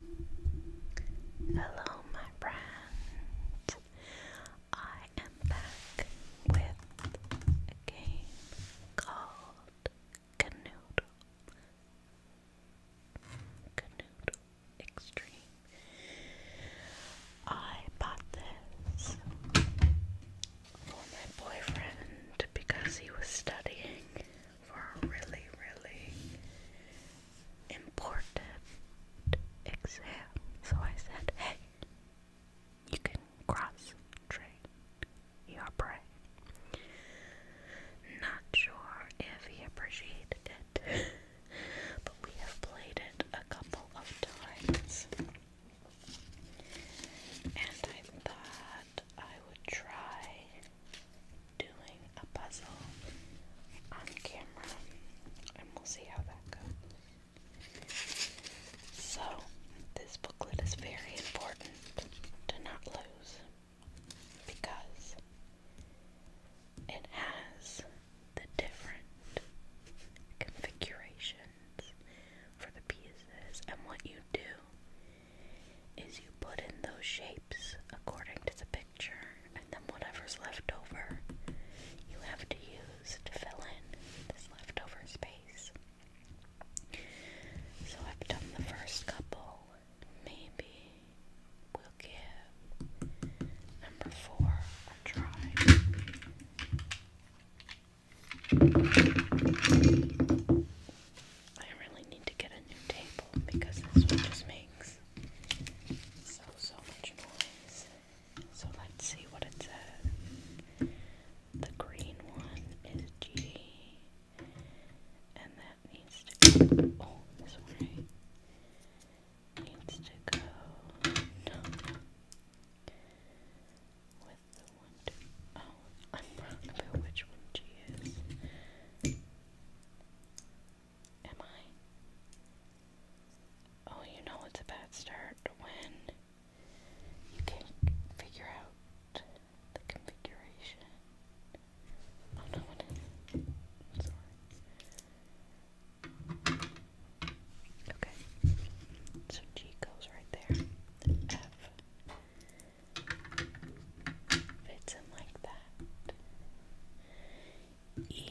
Hello, my friend. I am back with a game called Canoodle. Canoodle Extreme. I bought this for my boyfriend because he was studying for a really, really important exam. So I said, hey, you can cross train your brain. Not sure if he appreciated it, but we have played it a couple of times. And I thought I would try doing a puzzle on camera, and we'll see how that goes. So, this booklet is very important to not lose because it has the different configurations for the pieces and what you do is you put in those shapes according to the picture, and then whatever's left over you have to use to fill in this leftover space. So I've done the first couple. Maybe we'll give number four a try. I really need to get a new table because this one just makes so, so much noise. So let's see what it says. The green one is G, and that needs to go. Oh, this one Needs to go. With the one, Oh, I'm wrong about which one G is. Am I? Oh, you know it's a bad start when you can't figure out the configuration. Oh no, sorry. Okay. So G goes right there. F in like that. E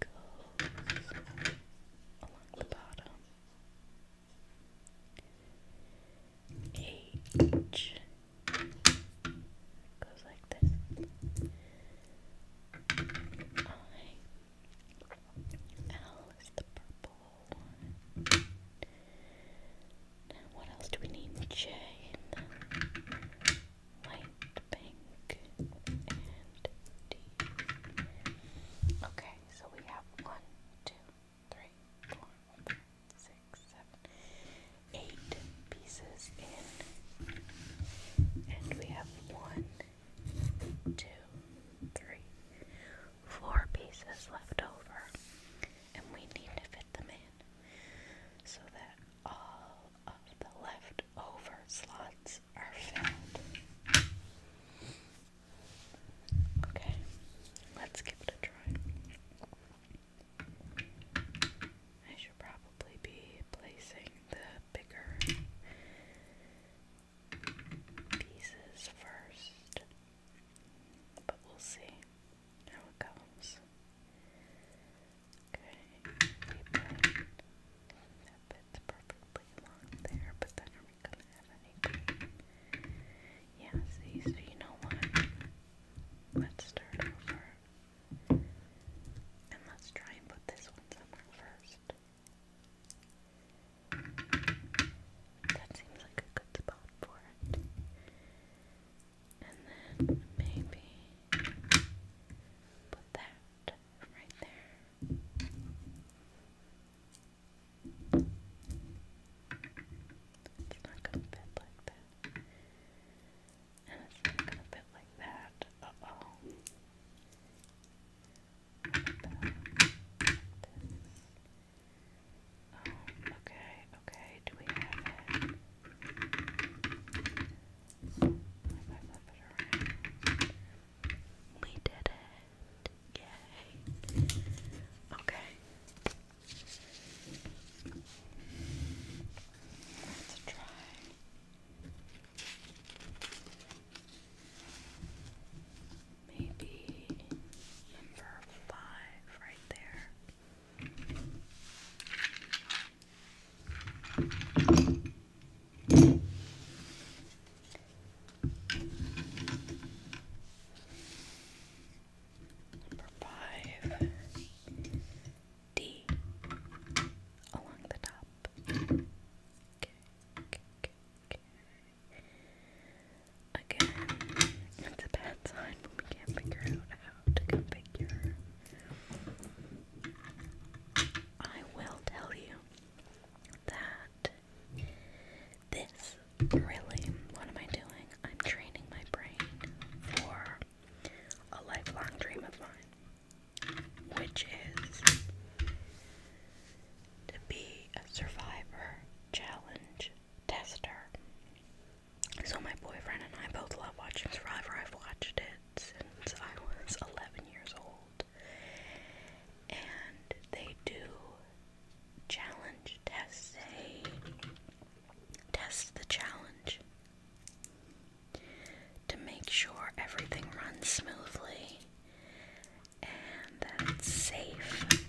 goes along the bottom. H goes like this. I L is the purple one. What else do we need? Jade, light pink, and D. Okay, so we have one, two, three, four, five, six, seven, eight pieces in, and we have one, two, three, four pieces left over, and we need to fit them in so that all of the leftover slots are filled. Okay, let's give it a try. I should probably be placing the bigger pieces first, but we'll see how it goes. Okay, that bit perfectly along there, but then are we gonna have any Yeah, see, so you know what? Let's start over. And let's try and put this one somewhere first. That seems like a good spot for it. And then maybe put that right there. It's not going to fit like that. And it's not going to fit like that. oh. Oh, okay, okay. Do we have it? I flip it around. We did it. Yay. Okay. Let's try. Maybe number five, right there. Number five D along the top. Again, it's a bad sign we can't figure out how to configure. I will tell you that this really, what am I doing? I'm training my brain for a lifelong dream of mine, which is to be a survivor challenge tester. So my boyfriend and I both love watching Survivor. I've watched it since I was 11 years old. And they do challenge tests. They test the challenge to make sure everything runs smoothly and that it's safe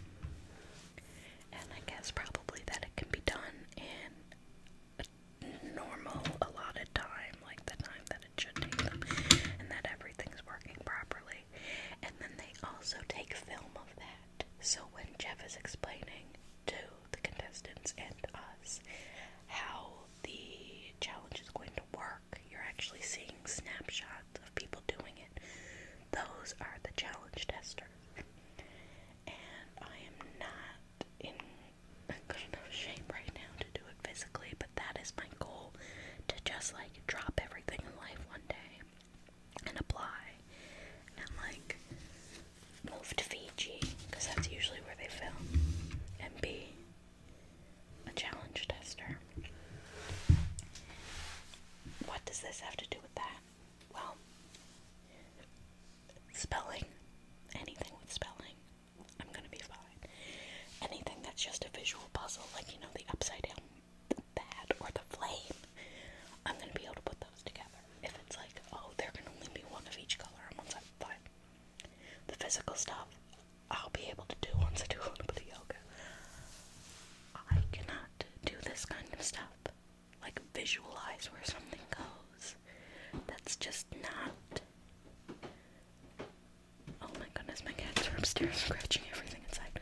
and I guess probably that it can be done in a normal allotted time, like the time that it should take and that everything's working properly. And then they also take film of that. So when Jeff is explaining to the contestants and us how the challenge is going to work, you're actually seeing snapshots of people doing it. Those are the challenge testers. And I am not in good enough shape right now to do it physically, but that is my goal to just like drop everything in life one day and apply and like move to Fiji because that's usually where they film and be a challenge tester. What does this have to do with? that? Well, spelling, anything with spelling, I'm gonna be fine. Anything that's just a visual puzzle, like you know, the upside down that or the flame, I'm gonna be able to put those together. If it's like, oh, there can only be one of each color, I'm on that fine. The physical stuff, I'll be able to do once I do a little bit of yoga. I cannot not do this kind of stuff. Like visualize where something goes. That's just not. Oh my goodness, my cats are upstairs scratching everything inside.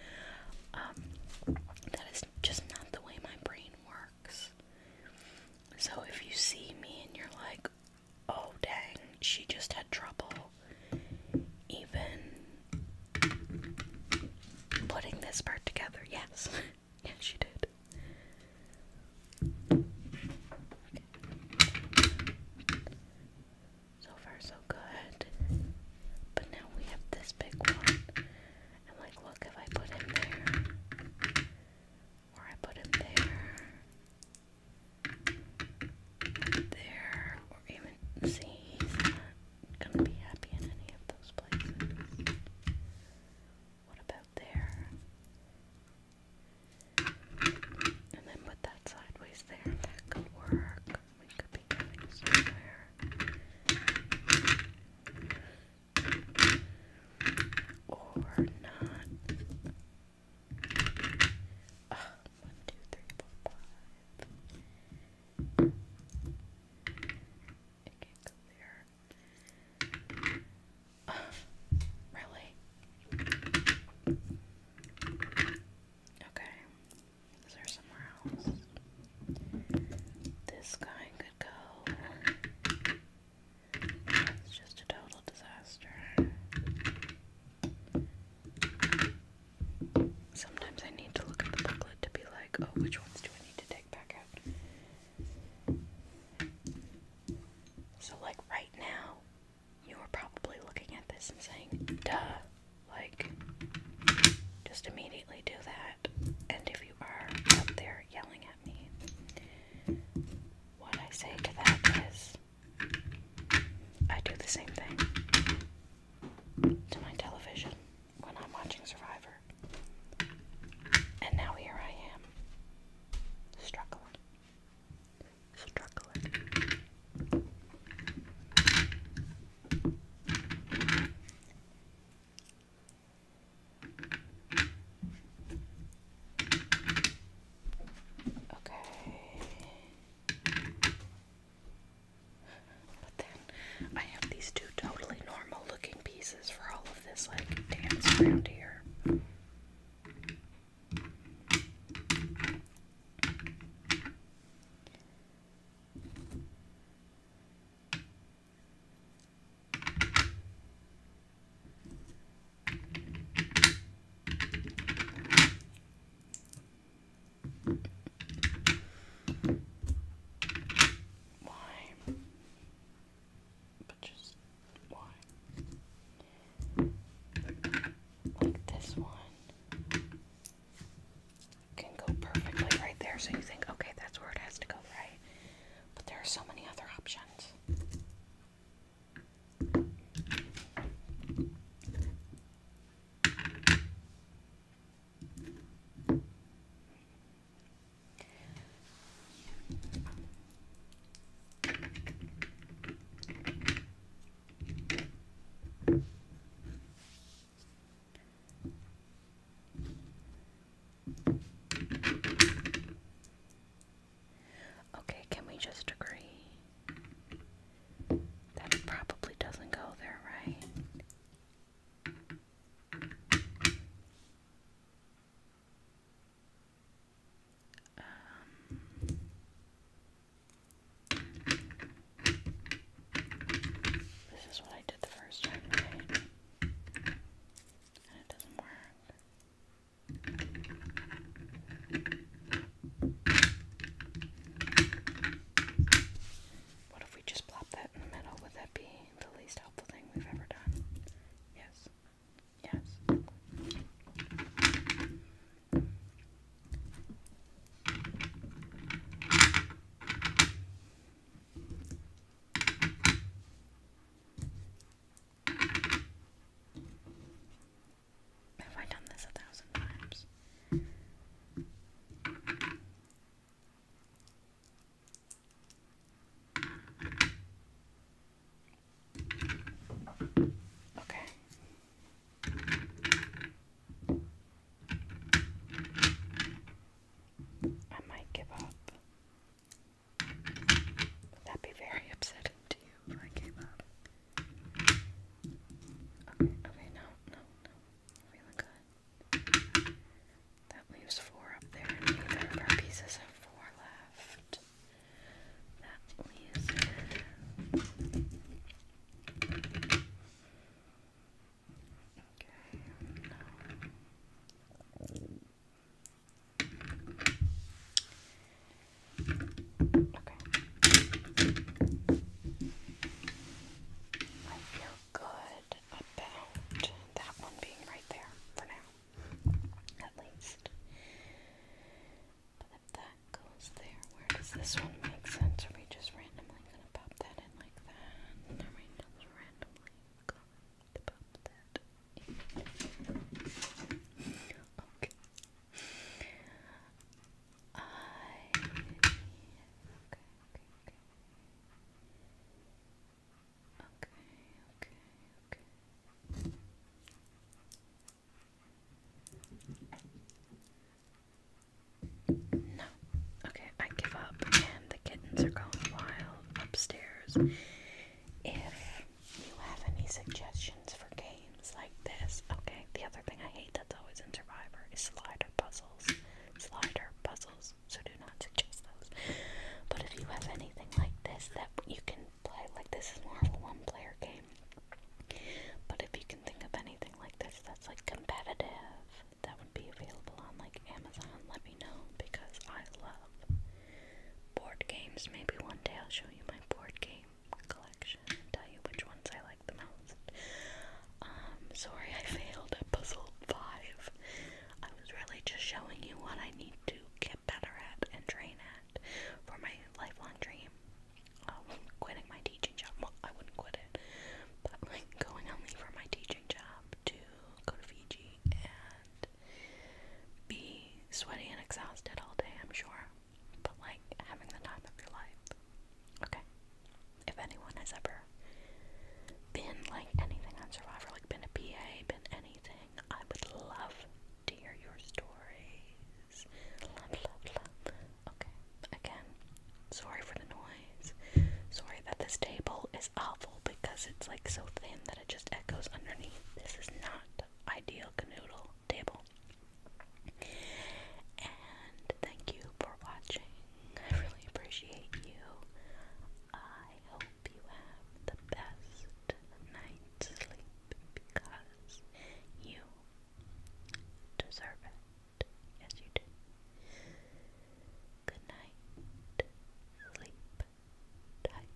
Um, that is just not the way my brain works. So if you see me and you're like, oh dang, she just had trouble even putting this part together. Yes, yes, she did. So far, so good. But now we have this big one. And, like, look, if I put him there, or I put him there, there, or even see, gonna be happy in any of those places. What about there? And then put that sideways there. That could work. We could be going somewhere. Or not. Ah, one, two, three, four, five. It can there. really? Okay. Is there somewhere else? This guy could go. It's just a total disaster. Sometimes I need to look at the booklet to be like, oh, which ones do I need to take back out? So, like, right now, you are probably looking at this and saying, duh. Like, just immediately do that. And if you are up there yelling at me, what I say to that is, I do the same thing to my television when I'm watching Survivor. And now here I am, struggling. Struggling. Okay. But then I have these two totally normal looking pieces for all of this like dance around here. Why? But just why? Like this one can go perfectly right there, so you think, okay, that's where it has to go, right? But there are so many other options. Okay, can we just agree that probably doesn't go there, right? Um, this is what I did the first time, right? And it doesn't work. What if we just plop that in the middle? Would that be the least helpful thing we've ever done? Yes. Yes. Have I done this a thousand times? Okay. I might give up. Would that be very upsetting to you? Okay, okay, no, no, no. Feeling good. That leaves four up there, and neither of our pieces have four left. That leaves Okay, no. Okay. I feel good about that one being right there for now, at least. But if that goes there, where does this one make sense? Are we just randomly gonna pop that in like that? Are we just randomly going to pop that Okay. I okay, okay, okay. Okay, okay, okay. No. Okay, I give up and the kittens are going wild upstairs. If you have any suggestions for games games like this. Okay, the other thing I hate that's always in Survivor is slider puzzles. Slider puzzles, so do not suggest those. But if you have anything like this that you can play, like this is more of a one player game. But if you can think of anything like this that's like competitive, that would be available on like Amazon, let me know because I love board games. Maybe one day I'll show you my board game collection tell you which ones I like the most. Um, sorry I failed at puzzle five. I was really just showing you what I need to get better at and train at for my lifelong dream. Um, quitting my teaching job. Well, I wouldn't quit it, but like going only for my teaching job to go to Fiji and be sweaty and exhausted all day, I'm sure but like having the time of your life. Okay. If anyone has ever been like anything on Survivor, like been a PA, been anything, I would love to hear your stories. Love, love, love. Okay. Again, sorry for the noise. Sorry that this table is awful because it's like so thin that it just echoes underneath. This is not ideal canoodle table. And thank you for watching. I really appreciate you. I hope you have the best night's sleep because you deserve it. Yes, you do. Good night. Sleep tight.